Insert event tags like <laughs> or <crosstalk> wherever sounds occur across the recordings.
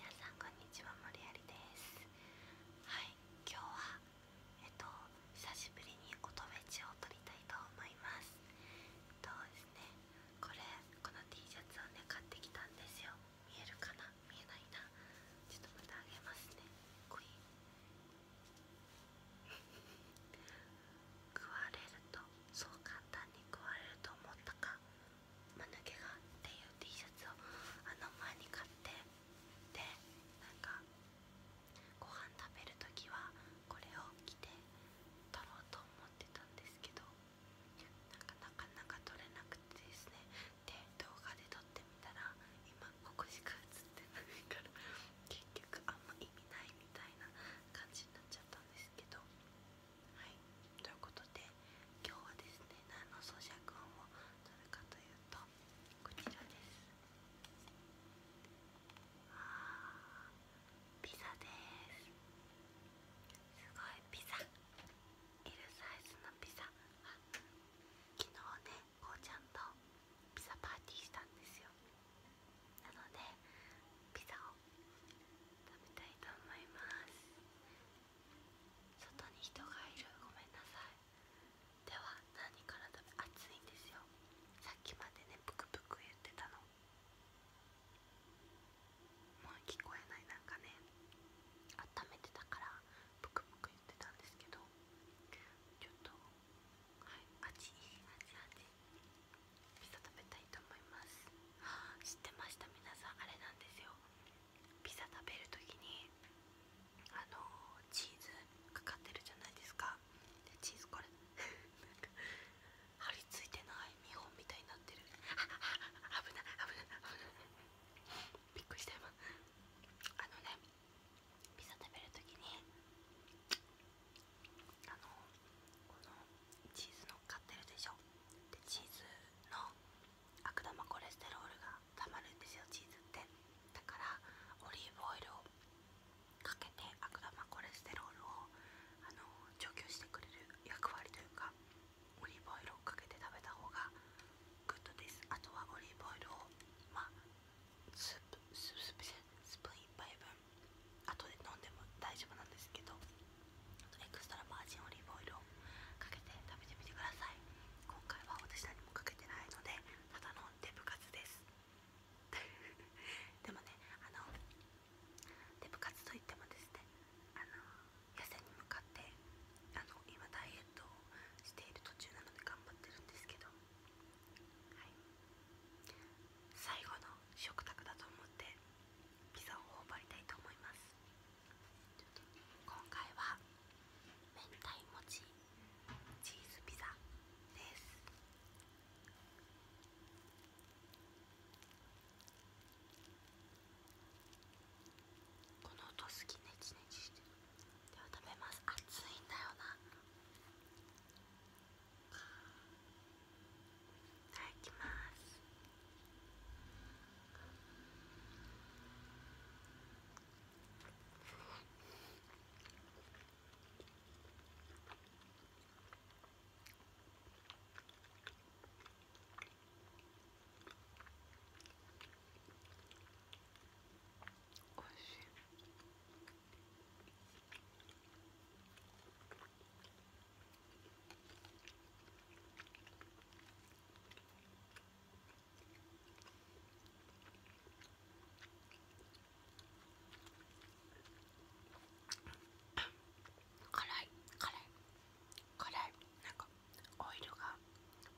皆さんこんにちは、森有です。はい、今日はえっと久しぶりに音フェを撮りたいと思います。えっとですね、これこの T シャツをね買ってきたんですよ。見えるかな？見えないな。ちょっとまたあげますね。コイン。<laughs> 食われるとそう簡単に食われると思ったか。マヌケがっていう T シャツをあの前に買ってでなんかご飯食べる時はこれを着て撮ろうと思ってたんですけどなんかなかなか撮れなくてですねで動画で撮ってみたら今ここしか映ってないから結局あんま意味ないみたいな感じになっちゃったんですけど。はいということで今日はですね何の咀嚼音を取るかというとこちらですピザですすごいピザ L サイズのピザあ昨日ねこうちゃんとピザパーティーしたんですよなのでピザを食べたいと思います。外に人がいるごめんなさいでは何から食べ暑いんですよさっきまでねぷくぷく言ってたのもう聞こえないなんかね温めてたからぷくぷく言ってたんですけどちょっとはいあちいい味ちあちピザ食べたいと思います知ってました皆さんあれなんですよピザ食べるときにあのチーズかかってるじゃないですかチーズこれなんか張り付いてない見本みたいになってるあ危ない危ない危ないびっくりした今あのねピザ食べるときにあのこのチーズの。乗ってるでしょでチーズの悪玉コレステロールがたまるんですよチーズってだからオリーブオイルをかけて悪玉コレステロールをあの除去してくれる役割というかオリーブオイルをかけて食べた方がグッドですあとはオリーブオイルをまスープスープスープスプーン1杯分後で飲んでも大丈夫なんですけどエクストラバージンオリーブオイルをかけて食べてみてください今回は私何もかけてないのでただのデブ活です <laughs> でもねあのデブ活といってもですねあの痩せに向かってあの今ダイエットをしている途中なので頑張ってるんですけど最後の食卓だと思ってピザを頬張りたいと思います今回は明太餅チーズピザですこの音好きネチネチしてでは食べます熱いんだよないただきますおいしい。辛い辛い辛いなんかオイルが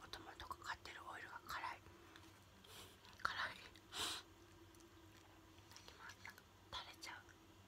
もともとかかってるオイルが辛い辛いいただきますなんか垂れちゃう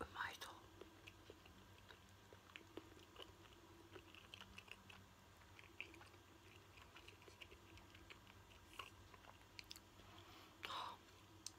うまいぞ。はあ、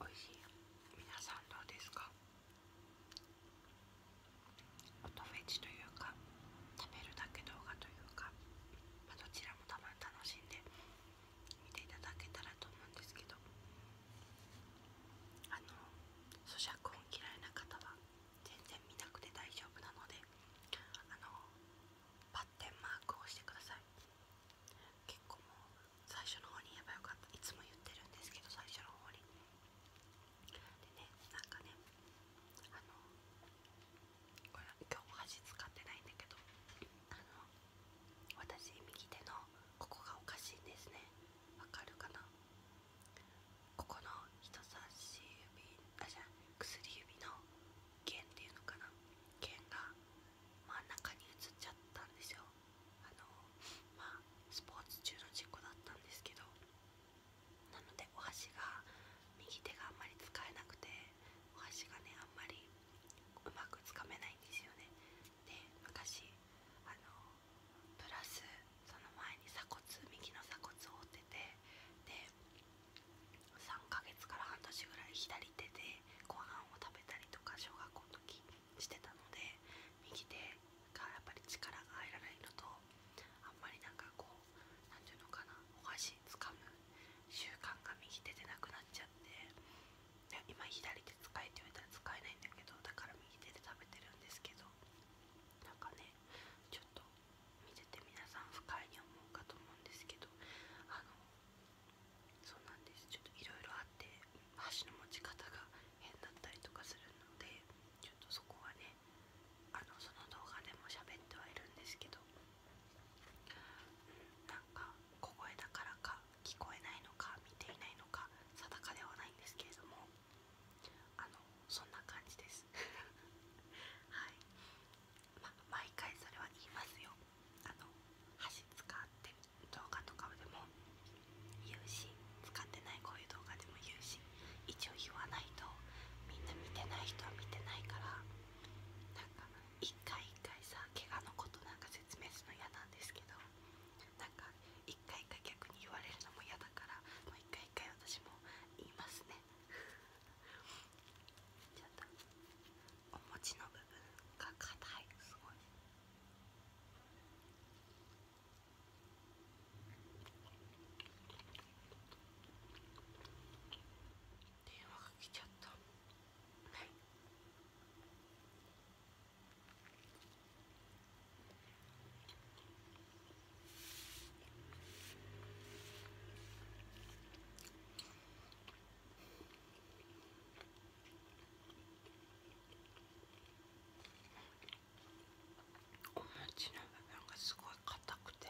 おいしい皆さんどうですか音フェチというか食べるだけ動画というか、まあ、どちらもたまに楽しんで見ていただけたらと思うんですけどあの咀嚼音嫌いな方は全然見なくて大丈夫なのであのパッテンマークを押してください結構もう最初の方に言えばよかったいつも言ってるんですけど最初の方にでねなんかねあのこれ今日箸使ってないんだけどあの私右手のここがおかしいんですねわかるかなここの人差し指あじゃ薬指の弦っていうのかな弦が真ん中に移っちゃったんですよあのまあスポーツ中の事故だったんですけどなのでお箸が右手があんまり使えなくてお箸がねあんまりうまくつかめないんですよねで昔あのプラスその前に鎖骨右の鎖骨を折っててで3ヶ月から半年ぐらい左手でご飯を食べたりとか小学校の時してたので右手がやっぱり力が入らないのとあんまりなんかこう何ていうのかなお箸つかむ習慣が右手でなくなっちゃって今左手使えって言われたら使えないんだけどだから右手で食べてるんですけどなんかねちょっと見てて皆さん不快に思うかと思うんですけどあのそうなんですちょっといろいろあって箸の持ち方が変だったりとかするのでちょっとそこはねあのその動画でも喋ってはいるんですけど、うん、なんか小声だからか聞こえないのか見ていないのか定かではないんですけれどもあのそんな感じです <laughs> はい、毎回それは言いますよあの箸使って動画とかでも言うし使ってないこういう動画でも言うし一応言わないとみんな見てない人は見てないからなんか一回一回さ怪我のことなんか説説明するの嫌なんですけどなんか一回一回逆に言われるのも嫌だからもう一回一回私も言いますね <laughs> ちょっとお餅の部分が硬いすごい電話が来ちゃった。はい。お餅の部分がすごい硬くて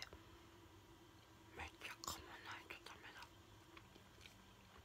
めっちゃ噛まないとダメだ。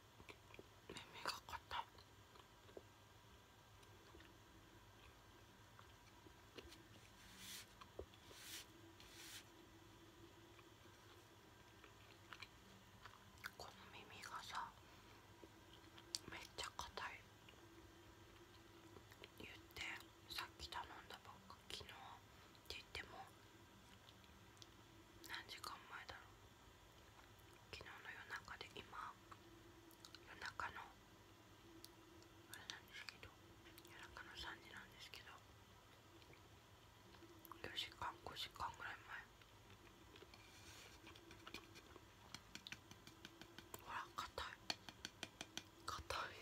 耳が硬いこの耳がさめっちゃ硬い言ってさっき頼んだばっか昨日って言っても何時間前だろう昨日の夜中で今夜中のあれなんですけど夜中の3時なんですけど4時間5時間ぐらい前ほら硬い硬いあ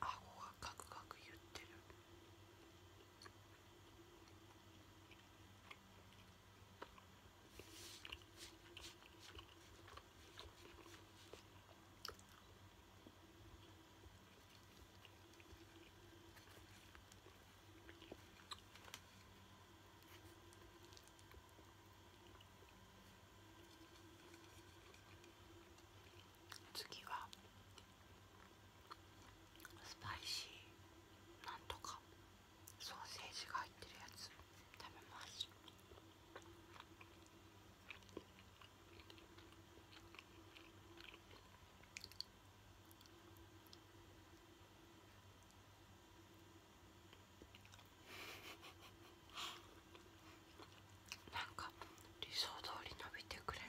顎がカクカク言ってる次はスパイシーなんとかソーセージが入ってるやつ食べますなんか理想通り伸びてくれない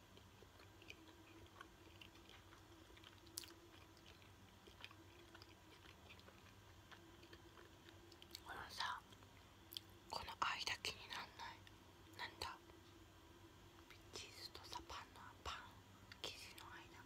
このさこの間気になんないなんだチーズとさパンのパン生地の間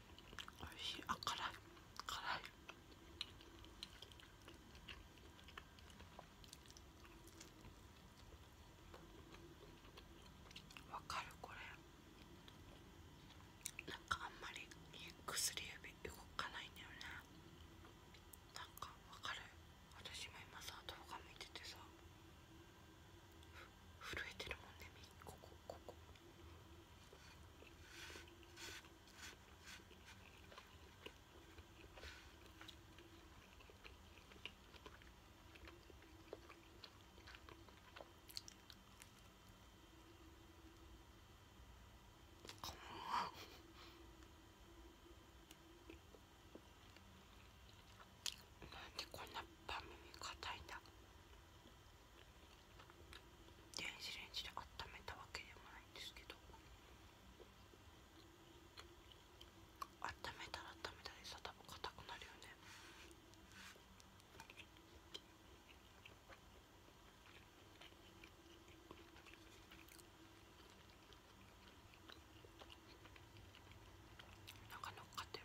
おいしいあっ、辛い辛いわかるこれなんかあんまり薬指動かないんだよねなんかわかる私も今さ頭が画いててさふ震えてるもんねこここここん <laughs> なんでこんな番組耳硬いんだ電子レンジで温めたわけでもないんですけど温めたら温めたでさ多分硬くなるよねなんか乗っかってる。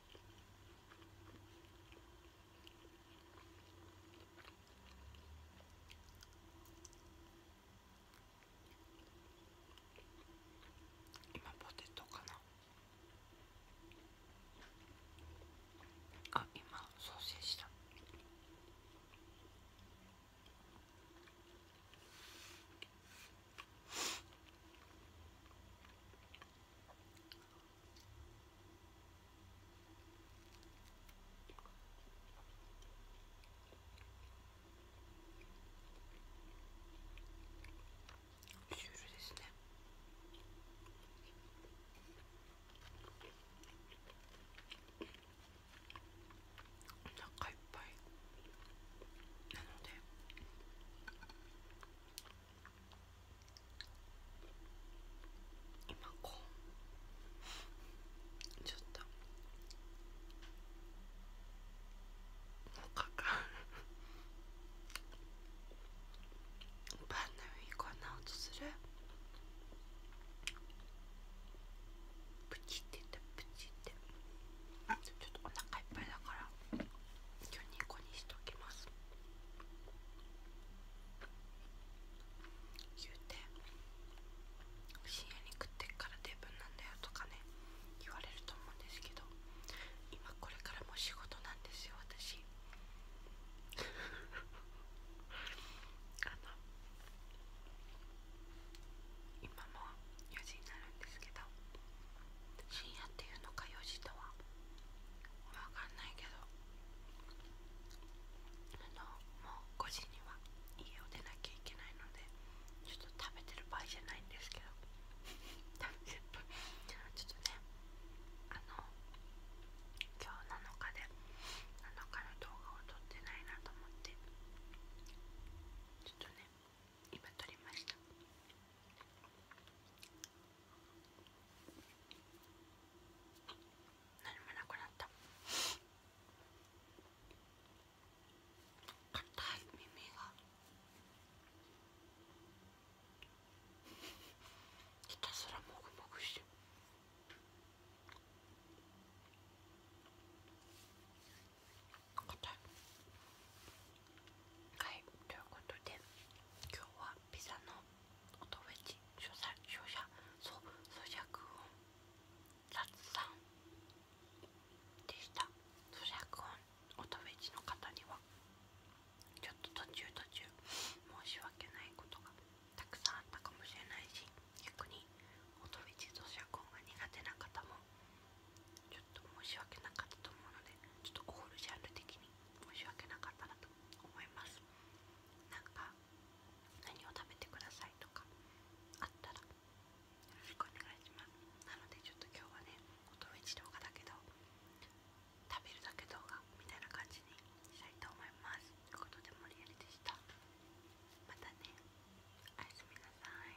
今ポテトかなあ今ソーセージた。シュールですねお腹いっぱいなので今こうちょっとなんかパンのこんな音するプチってプチってちょっとお腹いっぱいだから今日2個にしときます言うて深夜に食ってっからデブなんだよとかね言われると思うんですけど今これからも仕事なんですよ私 <laughs> あの今も4時になるですけど深夜っていうのか4時とは分かんないけどあのもう5時には家を出なきゃいけないのでちょっと食べてる場合じゃないんですけど食べてる場合ちょっとねあの今日7日で7日の動画を撮ってないなと思ってちょっとね今撮りました。何もなくなった硬い耳がひたすらもぐもぐしてはいということで今日はピザの音フェチ所作所作そう咀嚼音雑談でした咀嚼音音フェチの方にはちょっと途中途中申し訳ないことがたくさんあったかもしれないし逆に音フェチ咀嚼音が苦手な方もちょっと申し訳なかったと思うのでちょっとコールジャンル的に申し訳なかったなと思いますなんか何を食べてくださいとかあったらよろしくお願いしますなのでちょっと今日はね音フェ動画だけど食べるだけ動画みたいな感じにしたいと思いますということで盛森やりでしたまたねおやすみなさい